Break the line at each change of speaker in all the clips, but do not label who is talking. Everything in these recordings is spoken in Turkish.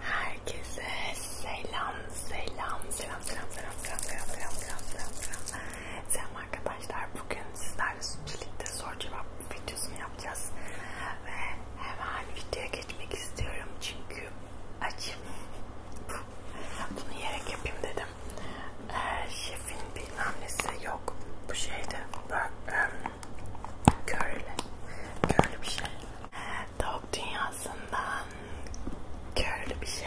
Herkese selam, selam, selam, selam, selam, selam, selam, selam, selam, selam, selam. Selam arkadaşlar, bugün sizlerle birlikte soru cevap videosunu yapacağız ve hemen videoya geçmek istiyorum çünkü açım. Bunu yerek yapayım dedim. Ee, şefin bilmem nesi yok. Bu şeyde bak. Um, Körlü. Körlü bir şey. Tavuk dünyasından körlü bir şey.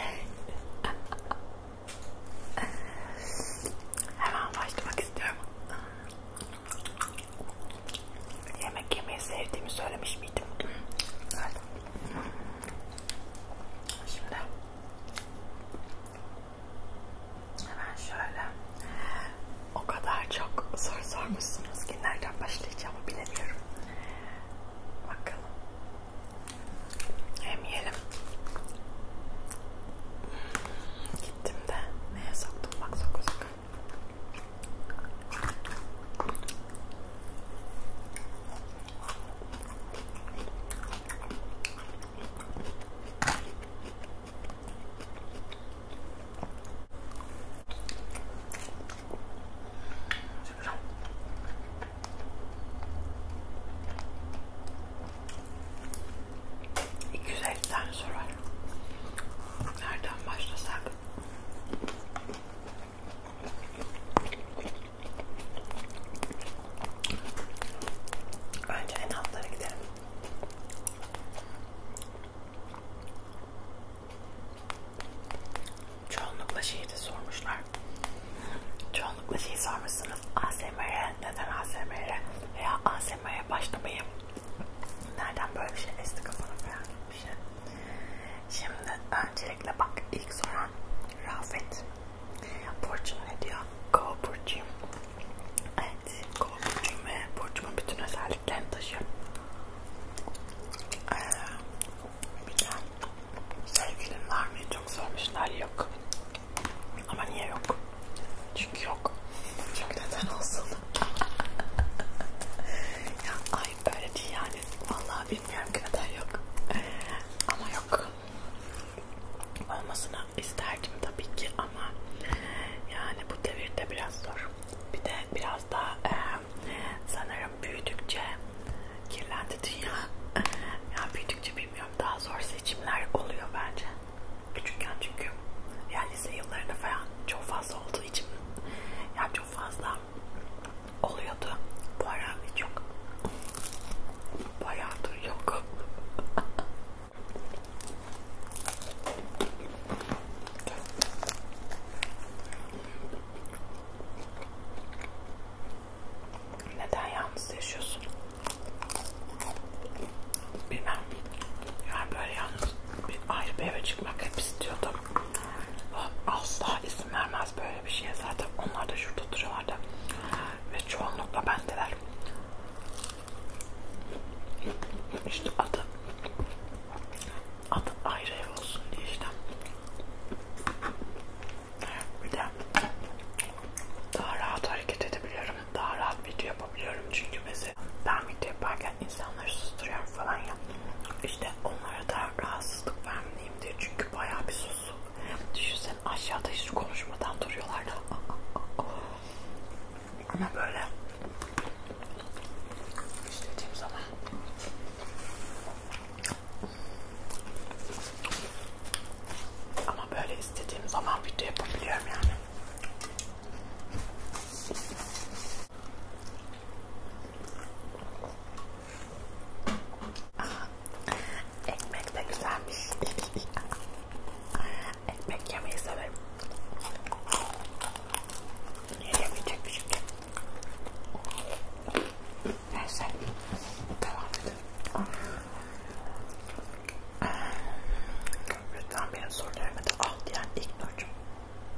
Hemen başlamak istiyorum. Yemek yemeyi sevdiğimi söylemiş miydim? Evet. Şimdi Hemen şöyle. O kadar çok soru sormuşsunuz ki nereden başlayacağımı bilemiyorum. Bakalım. Hem yiyelim. Gittim de neye soktum bak soku soku. 250 tane soru var. Nereden başlasak? Önce en altlara gidelim. Çoğunlukla şeyi de sormuşlar. Çoğunlukla şeyi sormuşsunuz. ASMR neden ASMR veya ASMR'ye başlamayı nereden böyle bir şey esti kafanı falan bir şey. Şimdi öncelikle bak ilk soran Rafet. Burcu ne diyor? Go Burcu'yum. Evet, kol burcum ve burcumun bütün özelliklerini taşıyorum. Ee, bir de sevgilin var mı? Çok sormuşlar. Yok. Ama niye yok? Çünkü yok. Çünkü neden olsun? ya ay böyle değil yani. Vallahi bilmiyorum ki neden yok. Ama yok. Olmasını isterdim tabii ki ama yani bu devirde biraz zor. Bir de biraz daha e, sanırım büyüdükçe kirlendi dünya. ya büyüdükçe bilmiyorum daha zor seçimler oluyor bence. Küçükken çünkü ya lise yıllarında falan çok fazla olduğu için ya çok fazla oluyordu. Bu ara hiç yok. Bayağıdır yok. Neden yalnız yaşıyorsun? Bilmem. Yani böyle yalnız bir ayrı bir eve çıkmak hep istiyordum. Asla izin vermez böyle bir şeye zaten. Onlar da şurada duruyorlardı. Ve çoğunlukla bendeler. İşte adı adı ayrı ev olsun diye işte. Bir de daha rahat hareket edebiliyorum. Daha rahat video yapabiliyorum. Çünkü mesela ben video yaparken insanları susturuyorum falan ya. İşte onlara da rahatsızlık vermeyeyim diye. Çünkü bayağı bir susu. Düşünsene aşağıda hiç konuşmadan duruyorlar da. Ama böyle İşleyeceğim sana. Ama böyle istediğim zaman video yapabiliyorum yani. Ekmek de güzelmiş ekmek yemeyi severim. Yiyemeyecek bir şey. Neyse. Devam edelim. Ah. Lütfen benim sorularımı da al diyen ilk nocum.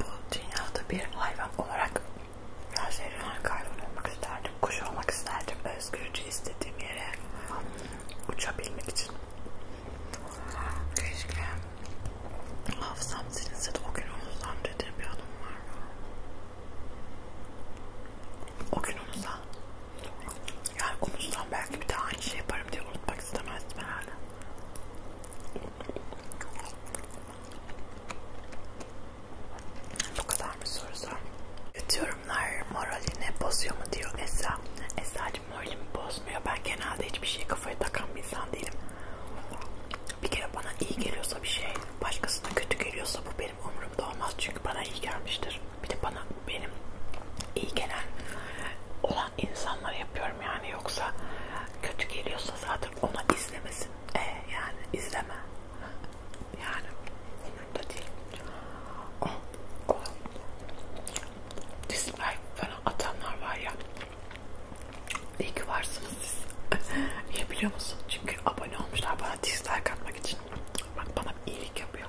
Bu dünyada bir hayvan olarak her şeyden hayvan olmak isterdim. Kuş olmak isterdim. Özgürce istediğim yere uçabilmek için. Keşke hafızam silinse de o gün unuzam dediğim bir anım var mı? O gün unuzam. Yani unuzam belki bir daha aynı şey yaparım diye unutmak istemezdim herhalde. Bu kadar mı sorsam? Kötü yorumlar moralini bozuyor mu diyor Esra. Esra hiç moralimi bozmuyor. Ben genelde hiçbir şey kafaya takan bir insan değilim. Bir kere bana iyi geliyorsa bir şey, başkasına kötü geliyorsa bu benim umurumda olmaz. Çünkü bana iyi gelmiştir. Bir de bana benim iyi gelen olan insanlara yapıyorum yani. Yoksa kötü geliyorsa zaten ona izlemesin. E yani izleme. Yani umurumda değil. O, o dislike falan atanlar var ya İyi ki varsınız siz. Niye biliyor musun? Çünkü abone olmuşlar bana dislike atmak için. Bak bana iyilik yapıyor.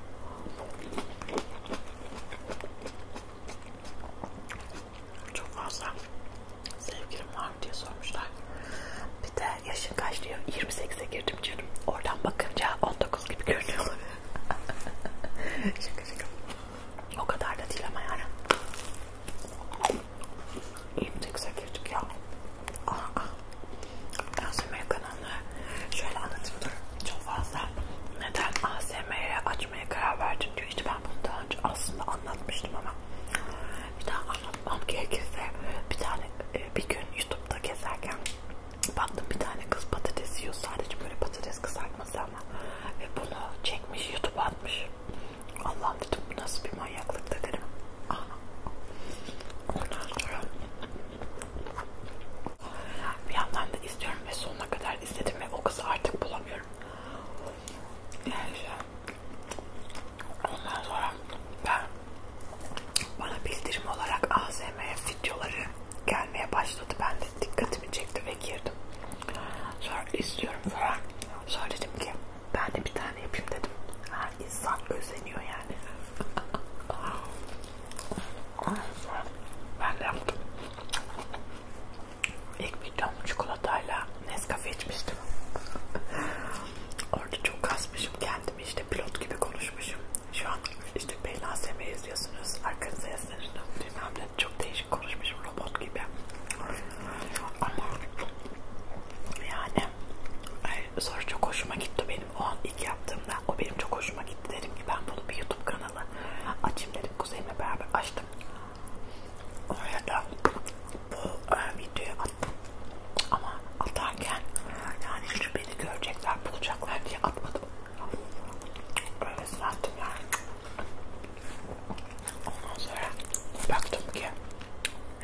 Çok fazla sevgilim var mı diye sormuşlar. Bir de yaşın kaç diyor. 28'e girdim canım. Oradan bakınca 19 gibi görünüyor. şaka şaka. O kadar da değil ama yani. İmtekse girdik ya. Aa, aa. ASMR kanalını şöyle anlatayım dur. Çok fazla neden ASMR'e açmaya karar verdim diyor. İşte ben bunu daha önce aslında anlatmıştım ama bir daha anlatmam gerekirse bir tane e, bir gün YouTube'da gezerken baktım bir tane kız patates yiyor. Sadece böyle patates kızartması ama ve bunu çekmiş YouTube atmış. Allah dedim bu nasıl bir manyaklık dedim. Ondan sonra bir yandan da istiyorum ve sonuna kadar istedim ve o kızı artık bulamıyorum. Yani işte, ondan sonra ben bana bildirim olarak ASMR videoları gelmeye başladı. Ben de dikkatimi çekti ve girdim. Sonra istiyorum falan. Sonra dedim ki ben de bir tane yapayım dedim. Ha, insan özeniyor yani. ben de yaptım. İlk videom çikolatayla Nescafe içmiştim. Orada çok kasmışım kendimi işte pilot gibi konuşmuşum. Şu an işte Beylan Seme izliyorsunuz. Arkanıza yazınız. Bilmem ne çok değişik konuşmuş konuşmuş robot gibi ama yani soru çok hoşuma gitti benim o an ilk yaptığımda o benim çok hoşuma gitti dedim ki ben bunu bir youtube kanalı açayım dedim kuzenimle beraber açtım oraya da bu e, videoyu attım ama atarken yani hiç beni görecekler bulacaklar diye atmadım öyle sattım yani Ondan sonra baktım ki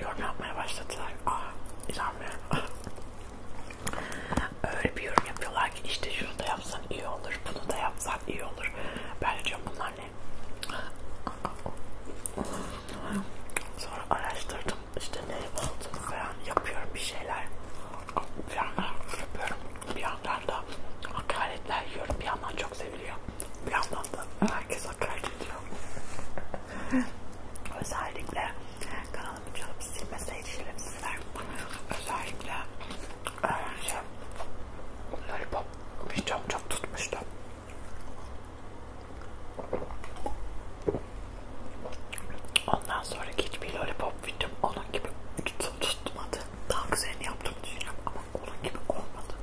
yorum yapmaya başladılar. Ah inanmıyorum. Öyle bir yorum yapıyorlar ki işte şunu da yapsan iyi olur, bunu da yapsan iyi olur. Bence bunlar ne? Sonra araştırdım işte ne oldu falan yapıyorum bir şeyler. Planlar yapıyorum bir yandan da hakaretler yiyorum. Bir yandan çok seviliyor. Bir yandan da herkes hakaret ediyor. Özellikle kanalımın canım silmeseydi şerefsizler. Özellikle önce şey, lollipop videom çok tutmuştu. Ondan sonraki hiçbir lollipop videom onun gibi tutmadı daha güzelini yaptığımı düşünüyorum ama onun gibi olmadı.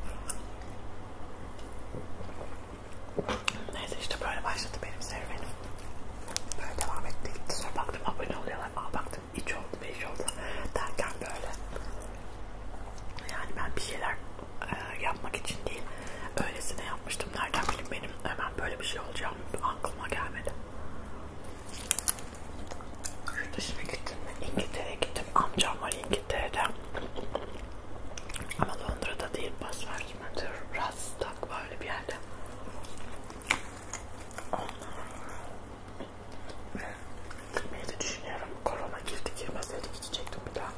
Neyse işte böyle başladı benim serüvenim. Böyle devam etti gitti. Sonra baktım abone oluyorlar. Aa baktım iç oldu beş oldu derken böyle. Yani ben bir şeyler e, yapmak için değil öylesine yapmıştım. Nereden bileyim benim hemen böyle bir şey olacağım aklıma gelmedi. Yurt dışına gittim mi? İngiltere'ye gittim. Amcam var İngiltere'de. Ama Londra'da değil. Basverkim'de. Rastak böyle bir yerde. Gitmeyi de düşünüyorum. Korona girdi girmeseydi gidecektim bir daha.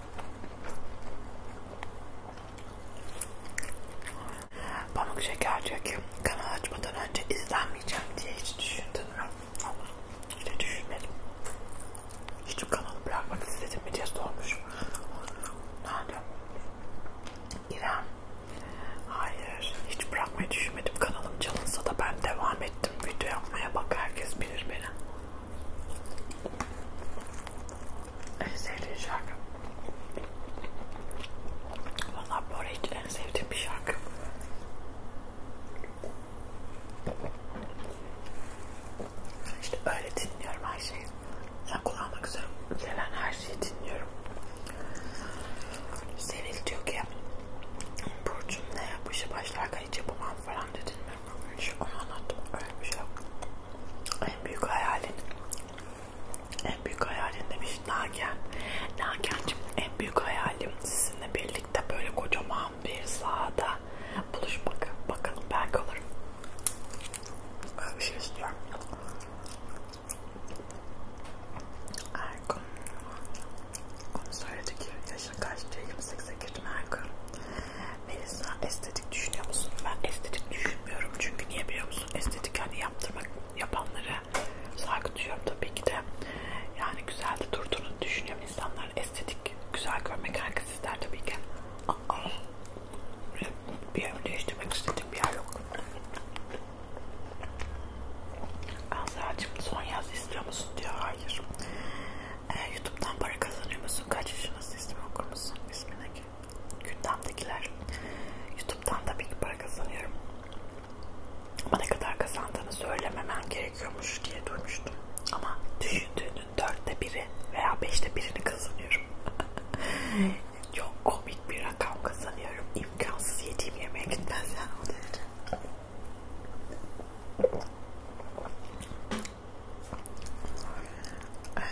Pamuk Şeker diyor ki kanal açmadan önce izlenmeyeceğim diye hiç düşündün mü? Allah hiç düşünmedim. Hiç kanalı bırakmak istedim mi diye sormuş. Nerede? İrem. Hayır hiç bırakmayı düşünmedim. Kanalım çalınsa da ben devam ettim. Video yapmaya bak herkes bilir beni. En sevdiğin şarkı. Valla bu arayı en sevdiğim bir şarkı. İşte öyle dinliyorum her şeyi. Yani kulağıma güzel gelen her şeyi dinliyorum. Sevil diyor ki Burcu'm ne yapışı başlarken hiç yapamam falan dedin mi? Onu anlattım. Öyle bir şey yok. En büyük hayalin en büyük hayalinde bir Nagen. Nagen'cim en büyük hayalim sizinle birlikte böyle kocaman bir sahada buluşmak. Bakalım belki olur. Böyle bir şey istiyorum. Ergun. Onu söyledi ki yaşın kaçtı? 28'e girdim Ergun. Melisa estetik düşünüyor musun? Ben estetik düşünmüyorum çünkü niye biliyor musun? Estetik hani yaptırmak yapanlara saygı duyuyorum tabii ki de yani güzel de durduğunu düşünüyorum. İnsanlar estetik güzel görmek herkes ister tabii ki. Aa, bir yer değiştirmek istediğim bir yer yok. Azra'cığım son yaz istiyor musun diyor. Hayır. Ee, Youtube'dan para kazanıyor musun? Kaç yaşındasın? İsmi okur musun? İsmindeki gündemdekiler. Youtube'dan da bir para kazanıyorum ama ne kadar kazandığını söylememen gerekiyormuş diye duymuştum. Ama düşündüğünün dörtte biri veya beşte birini kazanıyorum. Çok komik bir rakam kazanıyorum. İmkansız yediğim yemeğe gitmez yani o derece. Ee,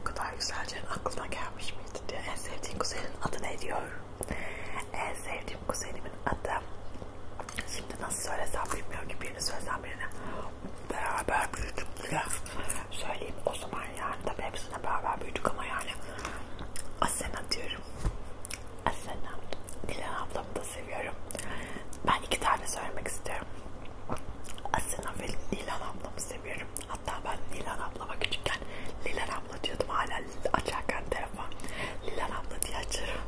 bu kadar güzelce aklına gelmiş miydi diye en sevdiğin kuzenin adı ne diyor? En sevdiğim kuzenimin adı. Şimdi nasıl söylesem bilmiyorum ki birini söylesem birine beraber büyüdük diye söyleyeyim o zaman yani tabi hepsine beraber büyüdük ama yani Asena diyorum. Asena. Dilan ablamı da seviyorum. Ben iki tane söylemek istiyorum. Asena ve Dilan ablamı seviyorum. Hatta ben Dilan ablama küçükken Lilan abla diyordum hala açarken telefon Lilan abla diye açarım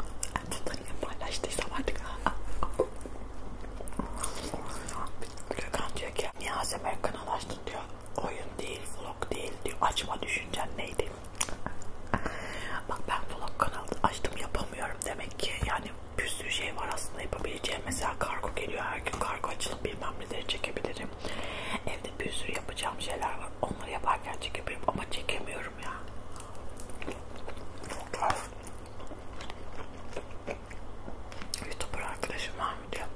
bunları niye paylaştıysam artık Gökhan diyor ki Niyazi Amerikan'a ulaştın diyor oyun değil vlog değil diyor açma düşüncen neydi bak ben vlog kanalı açtım yapamıyorum demek ki yani bir sürü şey var aslında yapabileceğim mesela kargo geliyor her gün kargo açılıp bilmem neleri çekebilirim Evde bir sürü yapacağım şeyler var. Onları yaparken çekemiyorum ama çekemiyorum ya. Youtuber arkadaşım var mı diyor.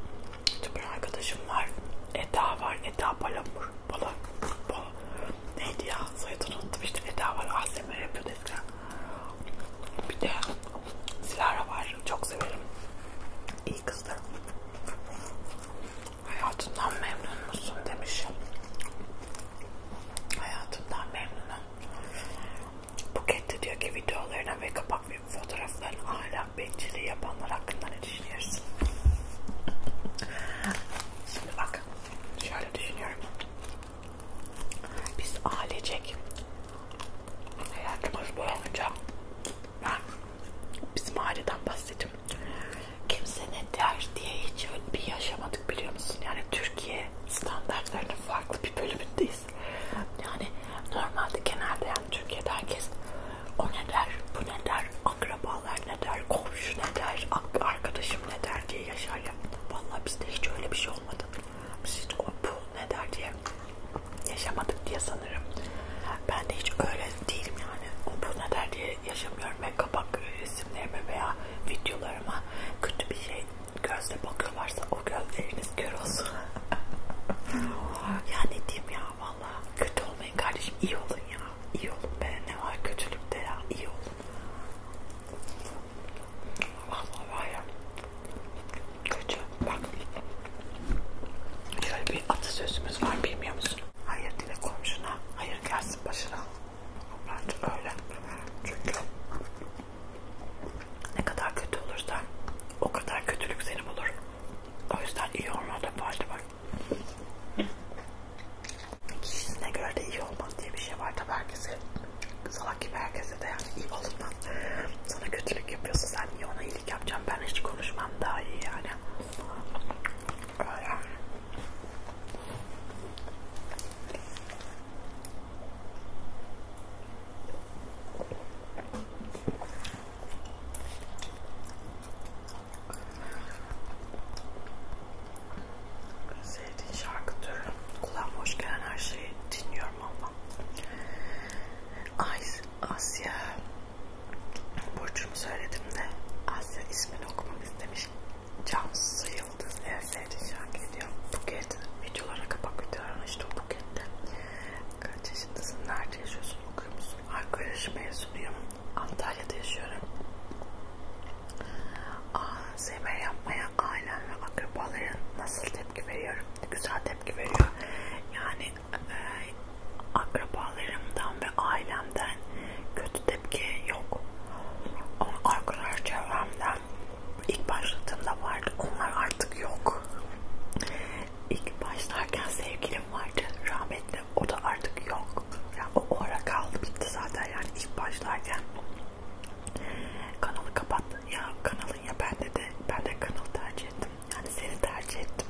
Youtuber arkadaşım var. Eda var. Eda Palamur. Bala, bala. Neydi ya? Soyadını unuttum işte. Eda var. ASMR yapıyordu eskiden. Bir de Silara var. Çok severim. İyi kızdı. Hayatından memnun musun demişim. Hayatından memnunum. Buket de diyor ki videolarına ve kapak ve fotoğrafların ahlak benciliği yapanlar hakkında ne düşünüyorsun? Şimdi bak şöyle düşünüyorum. Biz ailecek hayatımız boyunca ben bizim aileden bahsediyorum. Kimse ne der diye hiç öyle bir yaşamadık biliyor musun? Yani Türkiye standartlarının farklı bir bölümündeyiz. Yani normalde genelde yani Türkiye'de herkes o ne der, bu ne der, akrabalar ne der, komşu ne der, arkadaşım ne der diye yaşar ya. Vallahi bizde hiç öyle bir şey olmadı. Biz hiç o bu ne der diye yaşamadık diye sanırım. Ben de hiç öyle değilim yani. Bu ne der diye yaşamıyorum ve kapak resimlerime veya videolarıma kötü bir şey gözle bakıyorlarsa o gözleriniz kör olsun. ya ne diyeyim ya valla. Kötü olmayın kardeşim. iyi olun ya. İyi olun be. Ne var kötülükte ya. iyi olun. Valla var ya. Kötü. Bak. Şöyle bir atasözümüz var bilmiyor musun? Hayır dile komşuna. Hayır gelsin başına. Bence öyle. Çünkü ne kadar kötü olursan o kadar kötülük seni bulur. O yüzden iyi olmada fayda var. Kişisine göre de iyi olmaz diye bir şey var tabi herkese. Salak gibi herkese de yani iyi olmaz. Sana kötülük yapıyorsa sen niye ona iyi değişiklik yapacağım. Ben hiç konuşmam daha iyi yani. Öyle. Sevdiğin şarkı türü. Kulağıma hoş gelen her şeyi dinliyorum ama. Ice Asya Burcu'nu söyledim de Asya ismini okumak istemiş. Cansu Yıldız en sevdiği şarkı ediyor. Buket videolara kapak videolarına işte Buket'te. Kaç yaşındasın, nerede yaşıyorsun, okuyor musun? Arkeoloji mezunuyum. Antalya'da yaşıyorum. ASMR yapmaya ailem ve akrabaların nasıl tepki veriyorum? Güzel tepki veriyor. Yani ee, akrabalarımdan ve ailemden kötü tepki yok. Ama arkadaş çevremden ilk başladığımda vardı. Onlar artık yok. İlk başlarken sevgilim vardı. Rahmetli. O da artık yok. Yani o ara kaldı bitti zaten yani ilk başlarken. Kanalı kapattı. Ya kanalın ya ben de de ben de kanal tercih ettim. Yani seni tercih ettim.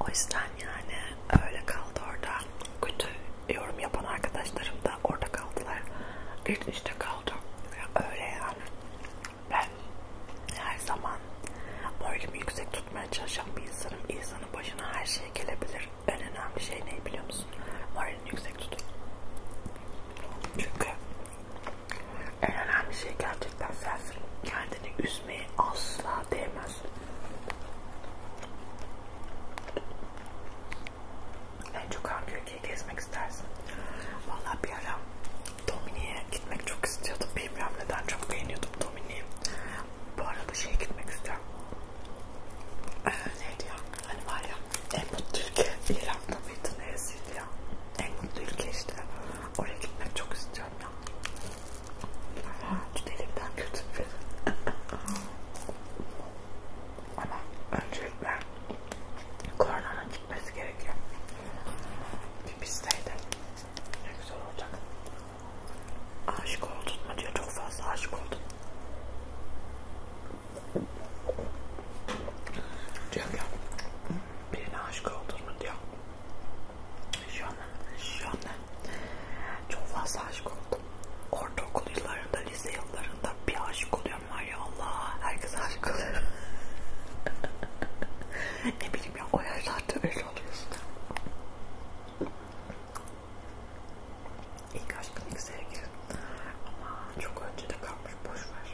O yüzden yani öyle kaldı orada. Kötü yorum yapan arkadaşlarım da orada kaldılar. Geçmişte kaldı. Öyle yani. Ben her zaman moralimi yüksek tutmaya çalışan bir insanım. İnsanın başına her şey gelebilir. En önemli şey ne biliyor musun? Moralini yüksek tutun. Çünkü en önemli şey gerçekten sensin. Yani kendini üzmeye asla değmez. En çok hangi ülkeyi gezmek istersin? Valla bir ara Domini'ye gitmek çok istiyordum. Bilmiyorum neden çok beğeniyordum Domini'yi. Bu arada şeye gitmek istiyorum. Ee, neydi ya? Hani var ya en mutlu ülke İran'da mıydı neresiydi ya? En mutlu ülke işte. Oraya gitmek çok istiyorum ya. Ağaç delimden kötü bir şey. Ama öncelikle koronanın gitmesi gerekiyor. Bir pisteydi. Ne güzel olacak. Aşık oldun mu diyor. Çok fazla aşık oldum. Diyor ki birine aşık oldun mu diyor. Şu an, şu an çok fazla aşık oldum. Ortaokul yıllarında, lise yıllarında bir aşık oluyorum var ya Allah. Herkes aşık oluyor. ne bileyim ya o yaşlarda öyle oluyorsun. İlk aşkın ilk sevgilin. Ama çok öncede kalmış boşver.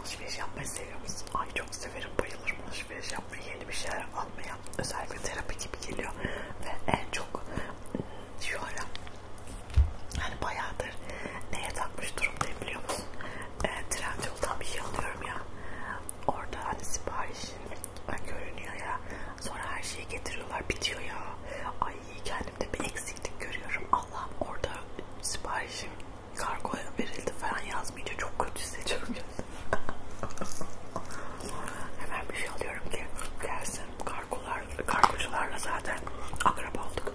Alışveriş yapmayı seviyor musun? Ay çok severim bayılırım alışveriş yapmayı yeni bir şeyler almaya özellikle terapi gibi geliyor ve en çok diyorum hmm, hani bayağıdır neye takmış durumdayım biliyor musun? E, Trendyol'dan bir şey alıyorum ya orada hani siparişin görünüyor ya sonra her şeyi getiriyorlar bitiyor ya ay kendimde bir eksiklik görüyorum Allah'ım orada siparişim kargoya verildi falan yazmayınca çok kötü hissediyorum ya Hemen bir şey alıyorum ki gelsin kargolar, kargocularla zaten akraba olduk.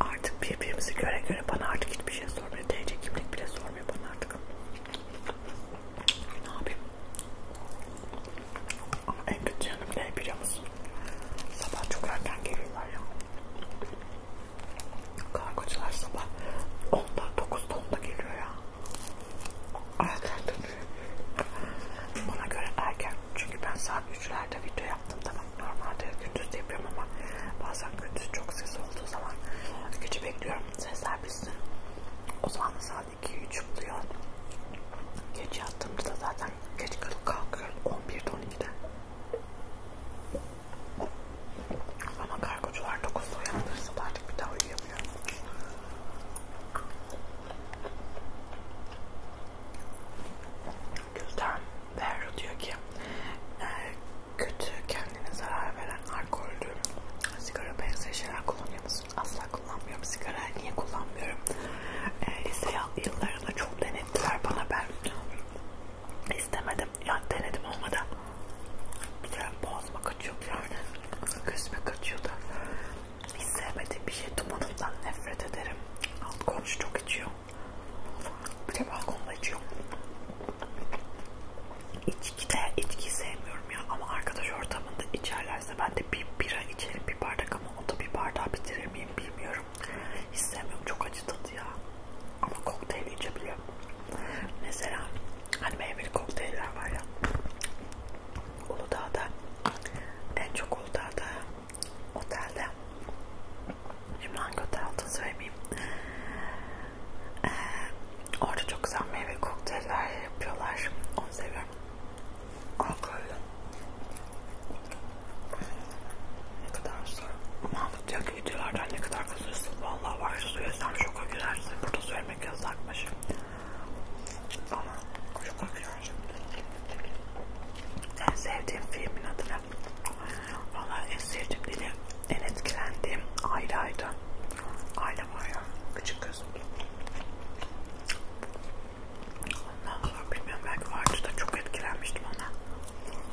Artık birbirimizi göre göre bana artık hiçbir şey sormuyor. TC kimlik bile sormuyor bana artık. Ne yapayım? Ama en kötü yanım ne biliyor musun? Sabah çok erken geliyorlar ya. Kargocular sabah 10'da 9'da 10'da geliyor ya. Erken Bana göre erken. Çünkü ben saat 3'lerde video yaptım. Tamam normalde gündüz de yapıyorum ama bazen gündüz çok ses olduğu zaman gece bekliyorum. Sesler bitsin. O zaman da saat 2-3 buluyor. Geç yattığımda da zaten geç kalıp kalkıyorum. 11'de 12'de. Ama kargocular 9'da uyandırırsa da artık bir daha uyuyamıyorum. Gülden Berro diyor ki e, kötü kendine zarar veren alkollü sigara benzer şeyler kullanıyor musun? Asla kullanmıyorum. Sigara niye kullanmıyorum? E, lise yıllarında çok denettiler bana ben istemedim yani denedim olmadı. Bir de boğazıma kaçıyordu yani. Gözüme kaçıyordu. Hiç sevmediğim bir şey dumanından nefret ederim. Alt komşu çok içiyor. Bir de balkonda içiyor. İçkide içki sevmiyorum ya ama arkadaş ortamında içerlerse ben de bir bira içerim bir bardak ama o da bir bardağı bitirir miyim bilmiyorum. Hiç sevmiyorum çok acı tadı ya. Ama kokteyl içebiliyor. Mesela hani meyveli kokteyller var ya. Uludağ'da en çok Uludağ'da otelde şimdi hangi otel olduğunu söylemeyeyim ee, orada çok güzel meyve kokteyller yapıyorlar onu seviyorum alkollü ne kadar sonra Mahmut diyor çünkü videolardan ne kadar kızırsın. Vallahi var söylesem şoka girersin. Burada söylemek yasakmış. Ama şoka girersin. En sevdiğim filmin adı ne? Vallahi en sevdiğim dini, en etkilendiğim Ayla'ydı. Ayla var ya, küçük kız. Ondan sonra bilmiyorum belki vardı da çok etkilenmiştim ona.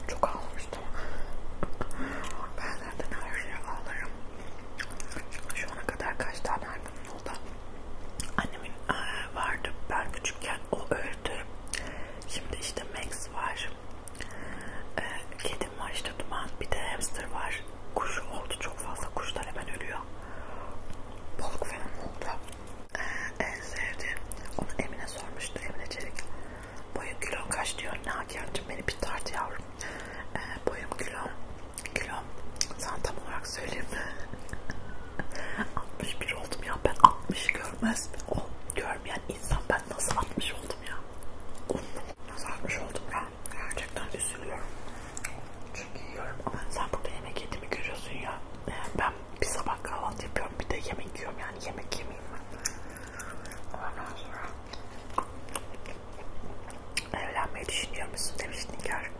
Çok ağlamıştım. Ben zaten her şeye ağlarım. Çünkü şu ana kadar kaç tane albümüm oldu. Annemin e, vardı ben küçükken o öldü. Şimdi işte Max var. E, kedim var işte Duman. Bir de hamster var. Kuş oldu çok fazla. Kuşlar hemen ölüyor. Balık falan oldu. E, en sevdiğim. Onu Emine sormuştu. Emine Çelik. Boyun kilon kaç diyor Nagihan'cığım beni bir tart yavrum. Ee, boyum kilom, kilom sana tam olarak söyleyeyim. 61 oldum ya ben 60 görmez o oh, görmeyen insan ben nasıl 60 oldum ya. Oh, nasıl 60 oldum ya gerçekten üzülüyorum. Çünkü yiyorum ama sen burada yemek yediğimi görüyorsun ya. Ee, ben bir sabah kahvaltı yapıyorum bir de yemek yiyorum yani yemek yemeyeyim ben. Ondan sonra evlenmeyi düşünüyor musun demiş Nigar.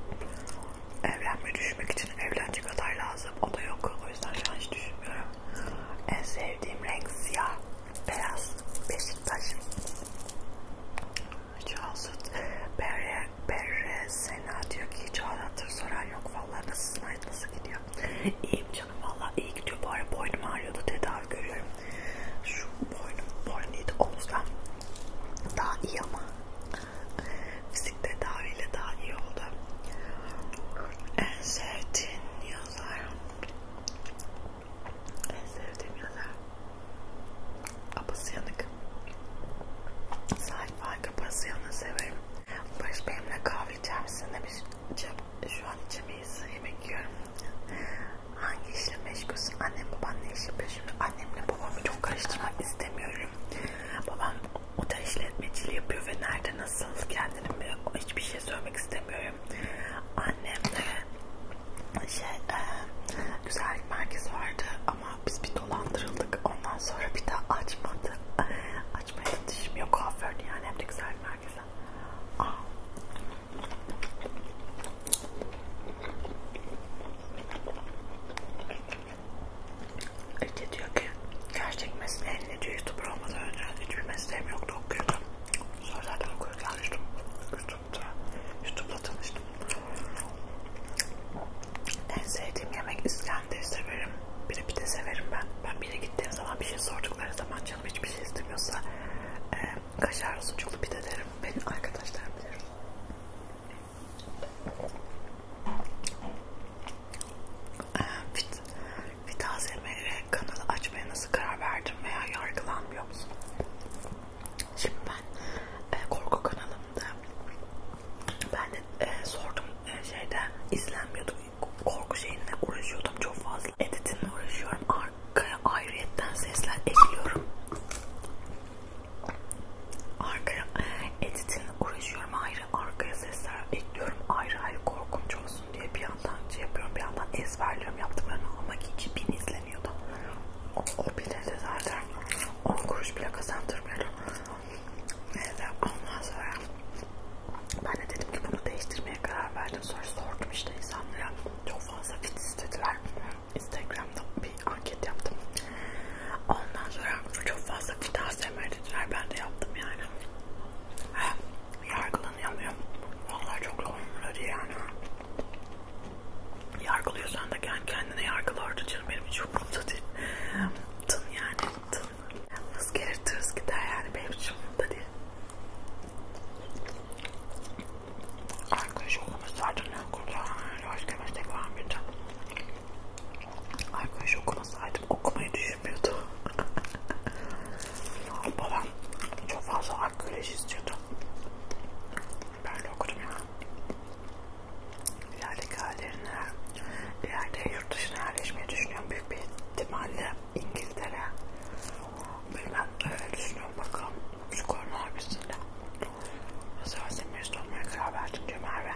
Evlenmeyi düşünmek için evlenecek aday lazım. O da yok. O yüzden şu an hiç düşünmüyorum. En sevdiğim renk siyah, beyaz, Beşiktaş. Çağsut Berre, Berre Sena diyor ki hiç soran yok. Vallahi nasılsın? Hayat nasıl gidiyor? ya. İyiyim canım valla iyi gidiyor. Bu ara boynum ağrıyordu tedavi görüyorum. Şu boynum, boynum iyiydi omuzdan. Daha iyi ama. Fizik tedaviyle daha iyi oldu. En sevdiğin yazar. En sevdiğim yazar. Abasıyanık. Sayfa Abasıyan'ı severim. Barış benimle kahve içer misin demiş. Şu an içemeyim evdeyiz. Yemek yiyorum. Hangi işle meşgulsün? Annem baban ne işle peşimde? Annemle babamı çok karıştırmak istemiyorum. Babam otel işletmeciliği yapıyor ve nerede nasıl kendini hiçbir şey söylemek istemiyorum. Annem de şey e, güzellik merkezi vardı ama biz bir dolandırıldık. Ondan sonra bir daha açmadı. Açmaya da dişim yok kuaförde yani hem de güzellik merkezi. Aa, Ece diyor ki gerçek mesleğin ne diyor youtuber olmadan önce hiçbir mesleğim yoktu okuyordum. Sonra zaten okuyordum yanlıştım. YouTube'da, YouTube'la tanıştım. En sevdiğim yemek İskender'i severim. Biri pide severim ben. Ben bir yere gittiğim zaman bir şey sordukları zaman canım hiçbir şey istemiyorsa e, kaşar sucuklu pide derim. Benim arkadaşlar bilir. E, fit, Vitazemere kanalı açmaya nasıl karar verdim veya yargılanmıyor musun? Şimdi ben e, korku kanalımda ben de e, sordum e, şeyde izlenmiyordu korku şeyinle uğraşıyordum çok fazla. Editinle uğraşıyorum. Arkaya ayrıyetten sesler ekliyorum. Arkaya editinle uğraşıyorum ayrı. Arkaya sesler ekliyorum ayrı ayrı korkunç olsun diye bir yandan şey yapıyorum bir yandan ezberliyorum yaptıklarını ama hiç bin izleniyordu. O, o bile de zaten 10 kuruş bile kazandırmıyordu. Neyse ondan sonra ben de dedim ki bunu değiştirmeye karar verdim. Sonra sordum işte insanlara. Çok fazla fit istediler. Instagram'da bir anket yaptım. Ondan sonra çok fazla fit ASMR dediler. Ben de yaptım yani. He, yargılanamıyorum. Vallahi çok zor diye yani. Yargılıyorsan da kendi kendine yargıla orada canım. Benim hiç umurumda değil. Tın yani tın. Hız gelir tırız gider yani benim hiç umurumda değil. Arkadaş okumuz ardından kurtarır. Başka meslek var mıydı? Arkadaş okumasaydım okumayı düşünmüyordu. Babam çok fazla arkeoloji istiyordu. Ben de okudum ya. İlerideki hallerine, ileride yurt dışına yerleşmeyi düşünüyorum. Büyük bir ihtimalle İngiltere ben öyle düşünüyorum bakalım. Şu korona hapisiyle. Savaşın şey meclis olmaya karar verdim diyor Merve.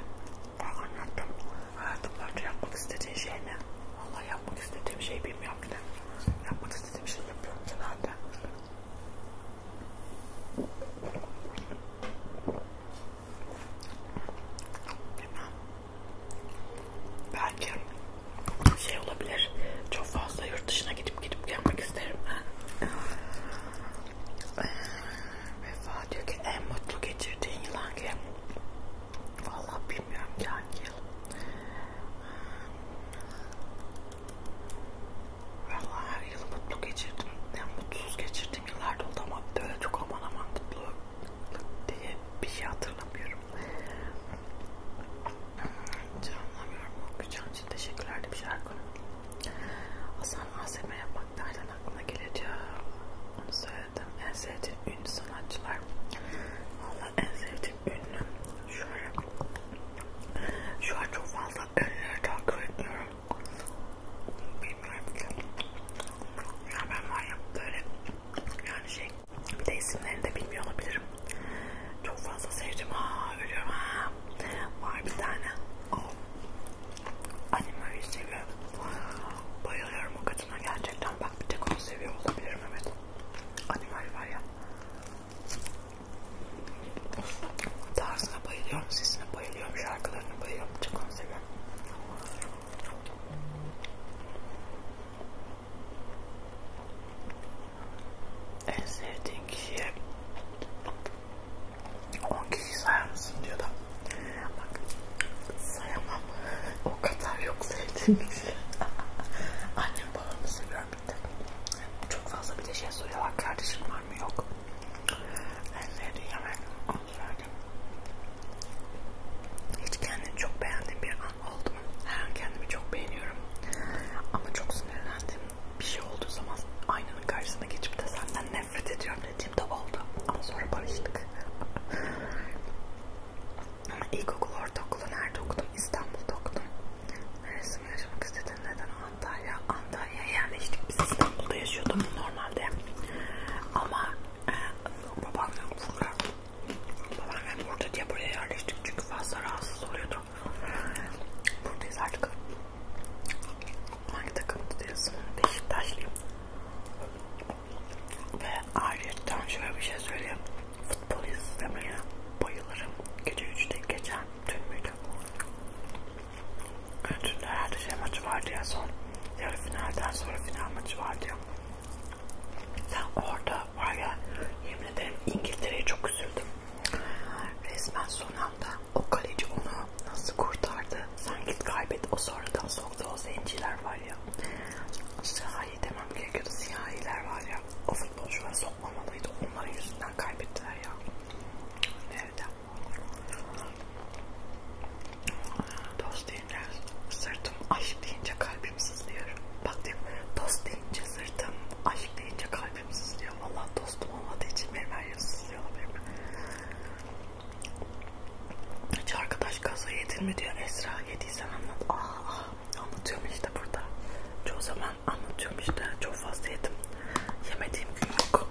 Ben anlattım. Hayatımda yapmak istediğin şey ne? Valla yapmak istediğim şey bilmiyorum ki de. Yapmak istediğim şey yapıyorum genelde. Bilmem belki şey olabilir. Çok fazla yurt dışına gidip gidip gelmek isterim ben. Ee, Vefa diyor ki en mutlu geçirdiğin yıl hangi? Valla bilmiyorum ki hangi yıl. Valla her yıl mutlu geçirdim. Yani mutsuz geçirdiğim yıllarda oldu ama böyle çok aman aman mutlu diye bir şey hatırlamıyorum. Hiç anlamıyorum. Okuyacağım için teşekkürler de bir şarkı. Hasan ASM yapmak nereden aklına geleceği onu söyledim. En sevdiğim ünlü sanatçılar. Valla en sevdiğim ünlü. Şöyle. Şu an çok fazla ünlüleri takip etmiyorum. Bilmiyorum ki. Ya ben var ya böyle yani şey bir de isimlerini de bilmiyor olabilirim. Çok fazla sevdim. Aa ölüyorum ha. Var bir tane. Oh. Anime'yi seviyorum. Bayılıyorum o kadına gerçekten. Bak bir tek onu seviyor olabilirim evet. Animal var ya. Tarzına bayılıyorum, sesine bayılıyorum, şarkılarına bayılıyorum. Çok onu seviyorum. En sevdiğin kişiye 10 kişi sayar mısın diyor da bak sayamam o kadar yok sevdiğim kişi annem babamı seviyorum bir tek çok fazla bir de şey soruyorlar kardeşim var mı yok en sevdiğin yemek onu söyledim hiç kendini çok beğendiğim bir pişman oldum. Her an kendimi çok beğeniyorum. Ama çok sinirlendim. Bir şey olduğu zaman aynanın karşısına geçip de senden nefret ediyorum dediğimde oldu. Ama sonra barıştık. Ama ilkokul, ortaokulu nerede okudum? İstanbul'da okudum. Neresini yaşamak istedim? Neden Antalya? Antalya'ya yerleştik. Biz İstanbul'da yaşıyordum normalde. Ama e, babamla okullar Babaannem burada diye buraya yerleştik çünkü fazla rahatsız oluyordu. Buradayız artık. Hangi takımda değilsin? Beşiktaşlıyım. Ve ayrıca şöyle bir şey söyleyeyim. Futbol izlemeye bayılırım. Gece 3'te geçen dün müydü? Dün de herhalde şey maçı vardı ya son. Yarı finalden sonra final maçı vardı ya. Sen orada var ya yemin ederim İngiltere'ye çok üzüldüm. Resmen son anda o kaleci onu nasıl kurtardı? Sen git kaybet o sonradan soktu o zenciler var ya. Siyahi demem gerekiyordu. Siyahiler var ya. O futbolcular sokmamalıydı. Onların yüzünden kaybettiler ya. Nerede? Dost değil. Sırtım ay eşim deyince kalbim sızlıyor. Bak diyorum dost deyince sırtım, aşk deyince kalbim sızlıyor. Vallahi dostum olmadığı için benim her yerim sızlıyor olabilir mi? Hiç arkadaş gazo yedin mi diyor Esra. Yediysen anlat. Aa, anlatıyorum işte burada. Çoğu zaman anlatıyorum işte. Çok fazla yedim. Yemediğim gün yok.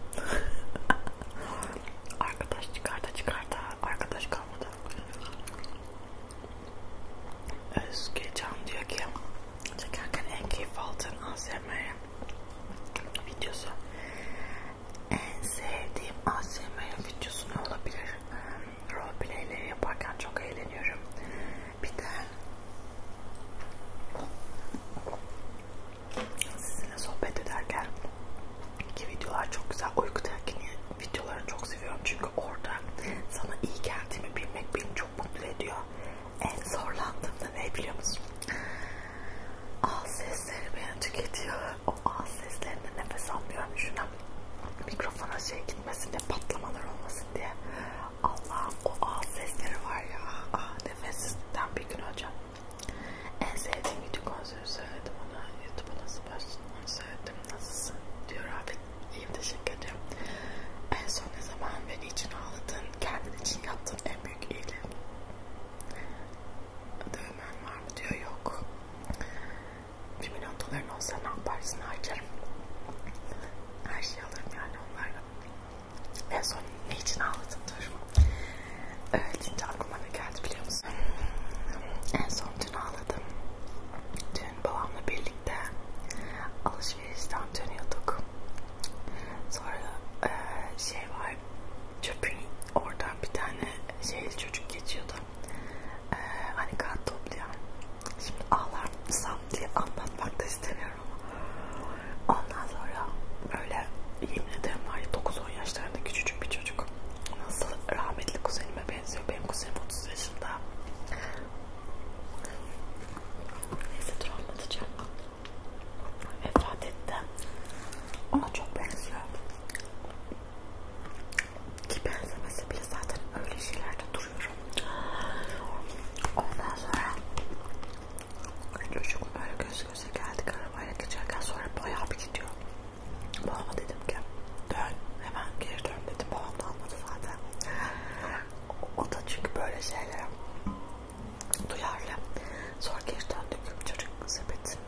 arkadaş çıkarta çıkarta arkadaş kalmadı. Özgecan diyor ki çekerken en keyif aldığın ASMR videosu en sevdiğim ASMR videosu ne olabilir? Roleplayleri yaparken çok eğleniyorum. Bir de sizinle sohbet ederken ki videolar çok güzel uyku telkini videolarını çok seviyorum çünkü orada sana iyi geldiğimi bilmek beni çok mutlu ediyor. En zorlandığımda ne biliyor musun? Ağız sesleri beni tüketiyor. O ağız seslerinde nefes almıyorum şuna. Mikrofona şey gitmesin diye patlamalar olmasın diye. Allah'ım o ağız sesleri var ya. Ah, nefessizlikten bir gün hocam. En sevdiğim video konseri söyledim ona. YouTube'a nasıl başladın onu söyledim. Nasılsın diyor abi İyiyim teşekkür ederim. En son ne zaman beni için ağladın, kendin için yaptığın en büyük iyiliği? Dövmen var mı diyor, yok. Bir milyon doların olsa ne yaparsın harcarım. Her şeyi alırım yani onlarla. En son ne için ağladın dur. Evet, şimdi aklıma ne geldi biliyor musun? En son dün ağladım. Dün babamla birlikte alışverişten dönüyorduk. Sonra e, şey var, çöpün oradan bir tane şey çocuk geçiyordu. E, hani kağıt topluyor. Şimdi ağlar sam diye anlatmak da istemiyorum ama. Ondan sonra böyle yemin ederim var ya 9-10 yaşlarında küçücük bir çocuk. Nasıl rahmetli kuzenime benziyor. Benim kuzenim 30 yaşında. Neyse dur anlatacağım. Vefat etti. Ona çok benziyor. Ki benzemesi bile zaten öyle şeylerde duruyorum. Ondan sonra çocuk böyle göz göze geldik arabayla geçerken sonra bayağı bir gidiyor. Babama dedim ki dön hemen geri dönmedi. Babam da almadı zaten. O da çünkü böyle şeylere duyarlı. Sonra geri döndük. Çocuk sepetin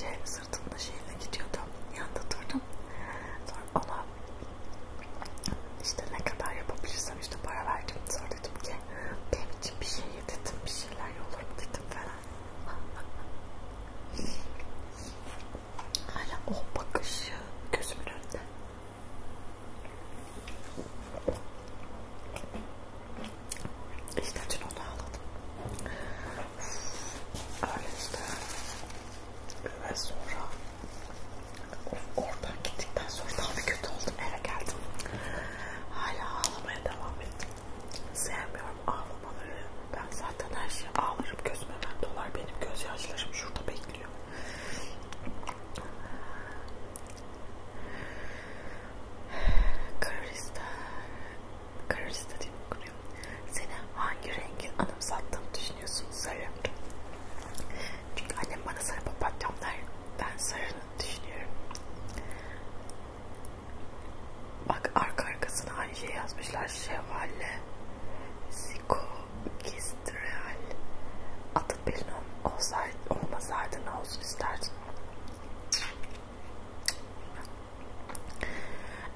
şeyini sırtında şeyine gidiyordu. Yanında durdum. Sonra ona işte ne kadar yapabilirsem işte para verdim. Sonra dedim ki benim için bir şey yedim. Bir şeyler olur mu dedim falan. Hala o bakışı gözümün önünde. İşte dün onu ağladım. Öyle işte. Ve sonra oradan gittikten sonra daha da kötü oldum. Eve geldim. Hala ağlamaya devam ettim. Sevmiyorum ağlamaları. Ben zaten her şeye ağlarım. Gözüm hemen dolar. Benim gözyaşlarım şurada bekliyor bekliyor. Karista, Karista diye okunuyor. Seni hangi rengin anımsattığımı düşünüyorsun sarı? Çünkü annem bana sarı papatyam der. Ben sarını düşünüyorum. Bak arka arkasına aynı şey yazmışlar. Şevale, Ziko, Gistreal adı belli olsaydı, olmasaydı ne olsun isterdin?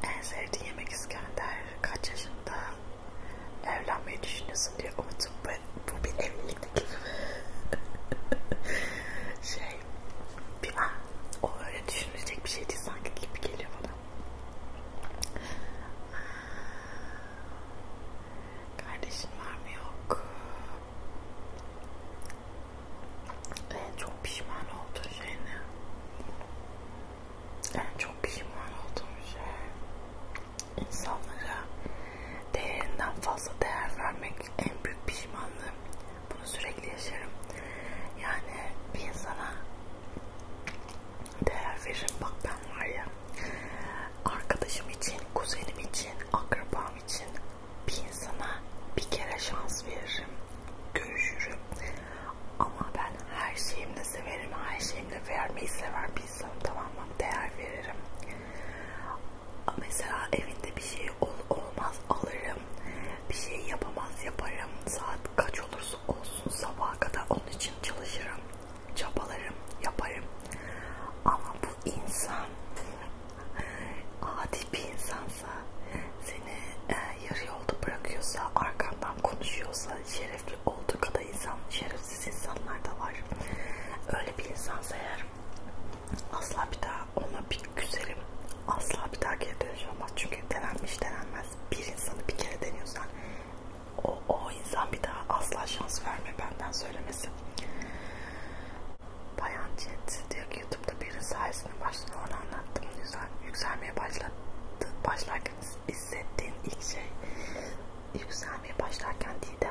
En sevdiğin yemek İskender kaç yaşında evlenmeyi düşünüyorsun diye umudum bu, bu bir evlilik gibi şey bir an ah, o öyle düşünülecek bir şey değil sanki gibi geliyor bana Kardeşin var mı yok? En çok pişman olduğun şey ne? En çok pişman olduğum şey insanlara değerinden fazla değer vermek en büyük pişmanlığım. Bunu sürekli yaşarım. Yani bir insana değer veririm. Bak ben var ya arkadaşım için, kuzenim için, akrabam için bir insana bir kere şans veririm. Görüşürüm. Ama ben her şeyimle severim. Her şeyimle vermeyi sever bir insanım. Tamam mı? Değer veririm. Mesela evinde bir şey ol olmaz alırım. Bir şey yapamaz yaparım. Saat kaç olursa olsun sabaha kadar onun için çalışırım çabalarım, yaparım. Ama bu insan adi bir insansa, seni e, yarı yolda bırakıyorsa, arkandan konuşuyorsa, şerefli olduğu kadar insan, şerefsiz insanlar da var. Öyle bir insansa eğer asla bir daha ona bir güzelim, asla bir daha geri dönüş olmaz. Çünkü denenmiş denenmez. Bir insanı bir kere deniyorsan o, o insan bir daha asla şans verme benden söylemesi. Bayan Jet diyor ki YouTube'da birinin sayesinde başladı. Onu anlattım. Güzel. Yükselmeye başladı. Başlarken hissettiğin ilk şey yükselmeye başlarken değil de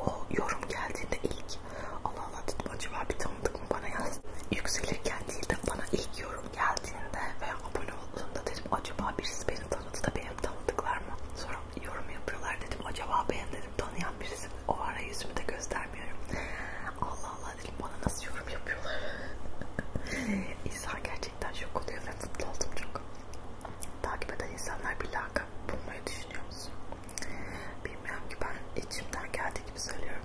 o yorum geldiğinde ilk Allah Allah dedim acaba bir tanıdık mı bana yazdı. Yükselirken değil de bana ilk yorum yorum geldiğinde ve abone olduğumda dedim acaba birisi beni tanıdı da benim tanıdıklar mı? Sonra yorum yapıyorlar dedim acaba ben dedim tanıyan birisi mi? O ara yüzümü de göstermiyorum. Allah Allah dedim bana nasıl yorum yapıyorlar? İnsan gerçekten şok oluyor ve mutlu oldum çok. Takip eden insanlar bir lakap bulmayı düşünüyor musun? Bilmiyorum ki ben içimden geldiği gibi söylüyorum.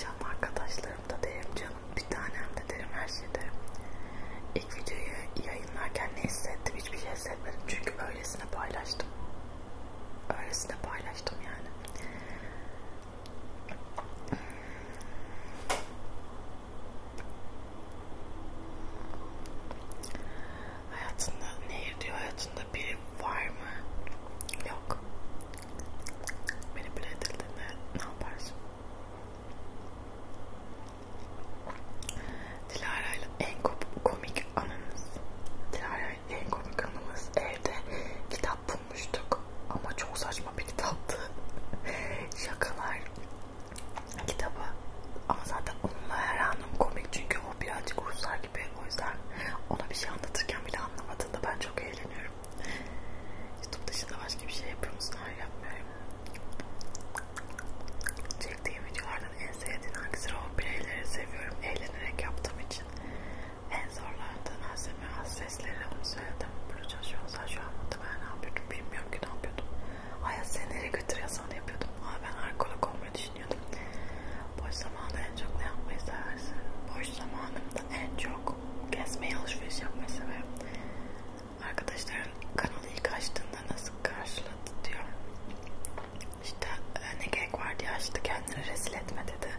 Canlı arkadaşlarım da DMC canım bir tanem de derim her şeyi derim. İlk videoyu yayınlarken ne hissettim hiçbir şey hissetmedim çünkü öylesine paylaştım. Öylesine paylaştım yani. Hayatında nehir diyor hayatında biri var mı? Yok. Beni bile edildiğinde ne yaparsın? Dilara ile en komik anımız Dilara ile en komik anımız evde kitap bulmuştuk ama çok saçma bir kitaptı şakalar kitabı ama zaten onunla her anım komik çünkü o birazcık Ruslar gibi o yüzden ona bir şey anlatırken bile anlamadığında ben çok eğleniyorum YouTube dışında başka bir şey yapıyor musun? Hayır yapmıyorum Çektiğim videolardan en sevdiğin hangisi? O bireyleri seviyorum eğlenerek yaptığım için. En zorlardan azeme az sesleri onu söyledim. Bunu çalışıyorsa şu an muhtemelen ne yapıyordum bilmiyorum ki ne yapıyordum. Hayat seni nereye götürüyorsan yapıyordum. Aa, ben arkeolog olmayı düşünüyordum. Boş zamanında en çok ne yapmayı seversin? Boş zamanımda en çok gezmeyi alışveriş yapmayı severim arkadaşlarım kanalı ilk açtığında nasıl karşıladı diyor. İşte e, ne gerek var diye açtı kendini rezil etme dedi.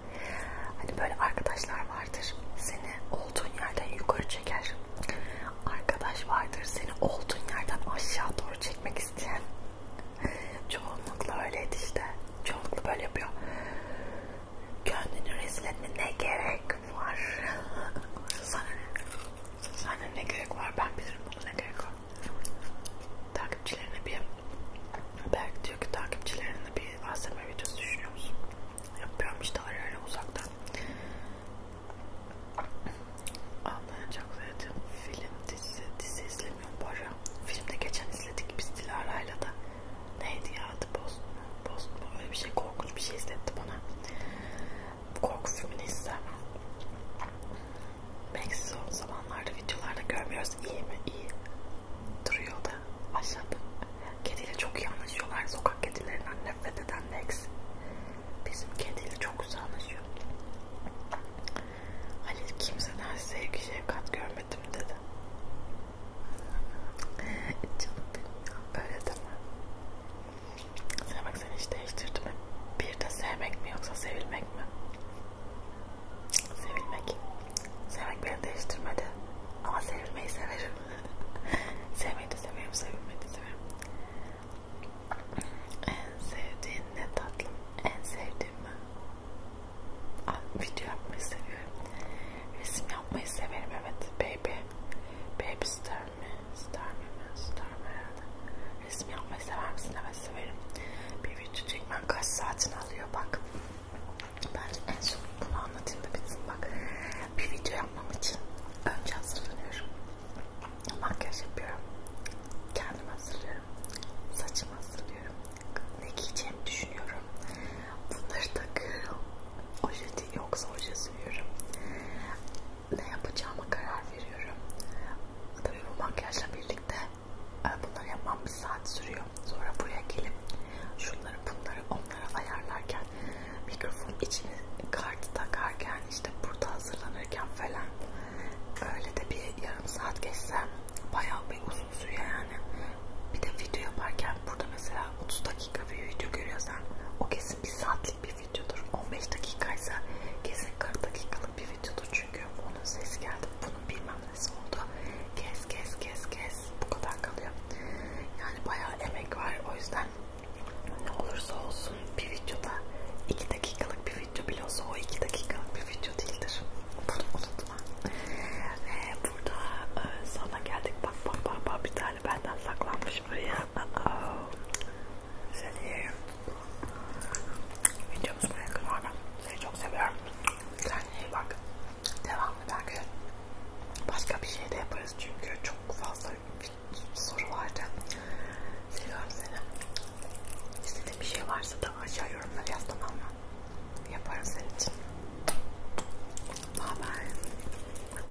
Hani böyle arkadaşlar vardır seni olduğun yerden yukarı çeker. Arkadaş vardır seni olduğun yerden aşağı doğru çekmek isteyen. Çoğunlukla öyleydi işte. Çoğunlukla böyle yapıyor. Kendini rezil etme ne gerek hakkım var. Sana ne? Sana ne gerek var? Ben bilirim buna ne gerek var. Takipçilerine bir belki diyor ki takipçilerine bir ASMR videosu düşünüyor musun? Yapıyorum işte öyle uzaktan. Anlayacak zaten. Film, dizi, dizi izlemiyorum bu ara. Filmde geçen izledik biz Dilara'yla da. Neydi ya adı? Post mu? Post mu? Öyle bir şey korkunç bir şey izletti bana. Korku filmini izlemem. Belki son zamanlarda videolarda görmüyoruz. İyi mi? İyi. Duruyor da aşağıda. Kediyle çok iyi anlaşıyorlar. Sokak kedilerinden nefret eden Lex. Bizim kediyle çok güzel anlaşıyor. Halil kimseden sevgi şefkat görmedim dedi. Canım benim. Öyle deme. Sevmek seni hiç değiştirdi mi? Bir de sevmek mi yoksa sevilmek mi? Sevilmek. Sevmek beni değiştirmedi. Ama sevilmeyi severim. sevmeyi de severim, sevilmeyi de severim. En sevdiğin ne tatlım? En sevdiğim mi? Video yapmayı seviyorum. Resim yapmayı severim evet. Baby. Baby ister mi? İster mi? İster mi herhalde? Resim yapmayı sever misin? Evet severim. Bir video çekmen kaç saatini alıyor bak. Bence en son bunu anlatayım da bitsin bak. Bir video yapmam için önce hazırlanıyorum. Makyaj yapıyorum. Kendimi hazırlıyorum. Saçımı hazırlıyorum. Ne giyeceğimi düşünüyorum. Bunları takıyorum. Oje taktiği yoksa hoca sürüyorum. Ne yapacağıma karar veriyorum. Tabii bu makyajla birlikte e, bunları yapmam bir saat sürüyor. Sonra buraya gelip şunları bunları onları ayarlarken mikrofon içine kart takarken işte burada hazırlanırken falan öyle de bir yarım saat geçse bayağı bir uzun sürüyor yani. Bir de video yaparken burada mesela 30 dakika bir video görüyorsan o kesin kesin bir saatlik bir videodur. 15 dakikaysa kesin 40 dakikalık bir videodur çünkü onun sesi geldi. Bunun bilmem nesi oldu. Kes kes kes kes bu kadar kalıyor. Yani bayağı emek var o yüzden ne olursa olsun bir videoda 2 dakikalık bir video bile olsa o 2 dakikalık bir video değildir. Bunu unutma. Ve ee, burada e, sana geldik bak bak bak bak bir tane tane benden saklanmış buraya. Uh -oh. Seni videomuz buraya kadar. Seni çok seviyorum. Kendine iyi bak. Devamlı belki başka bir şey de yaparız çünkü çok fazla soru vardı. Seviyorum seni. İstediğin bir şey varsa da aşağı yorumlara yaz tamam mı? Yaparım senin için. Bye bye.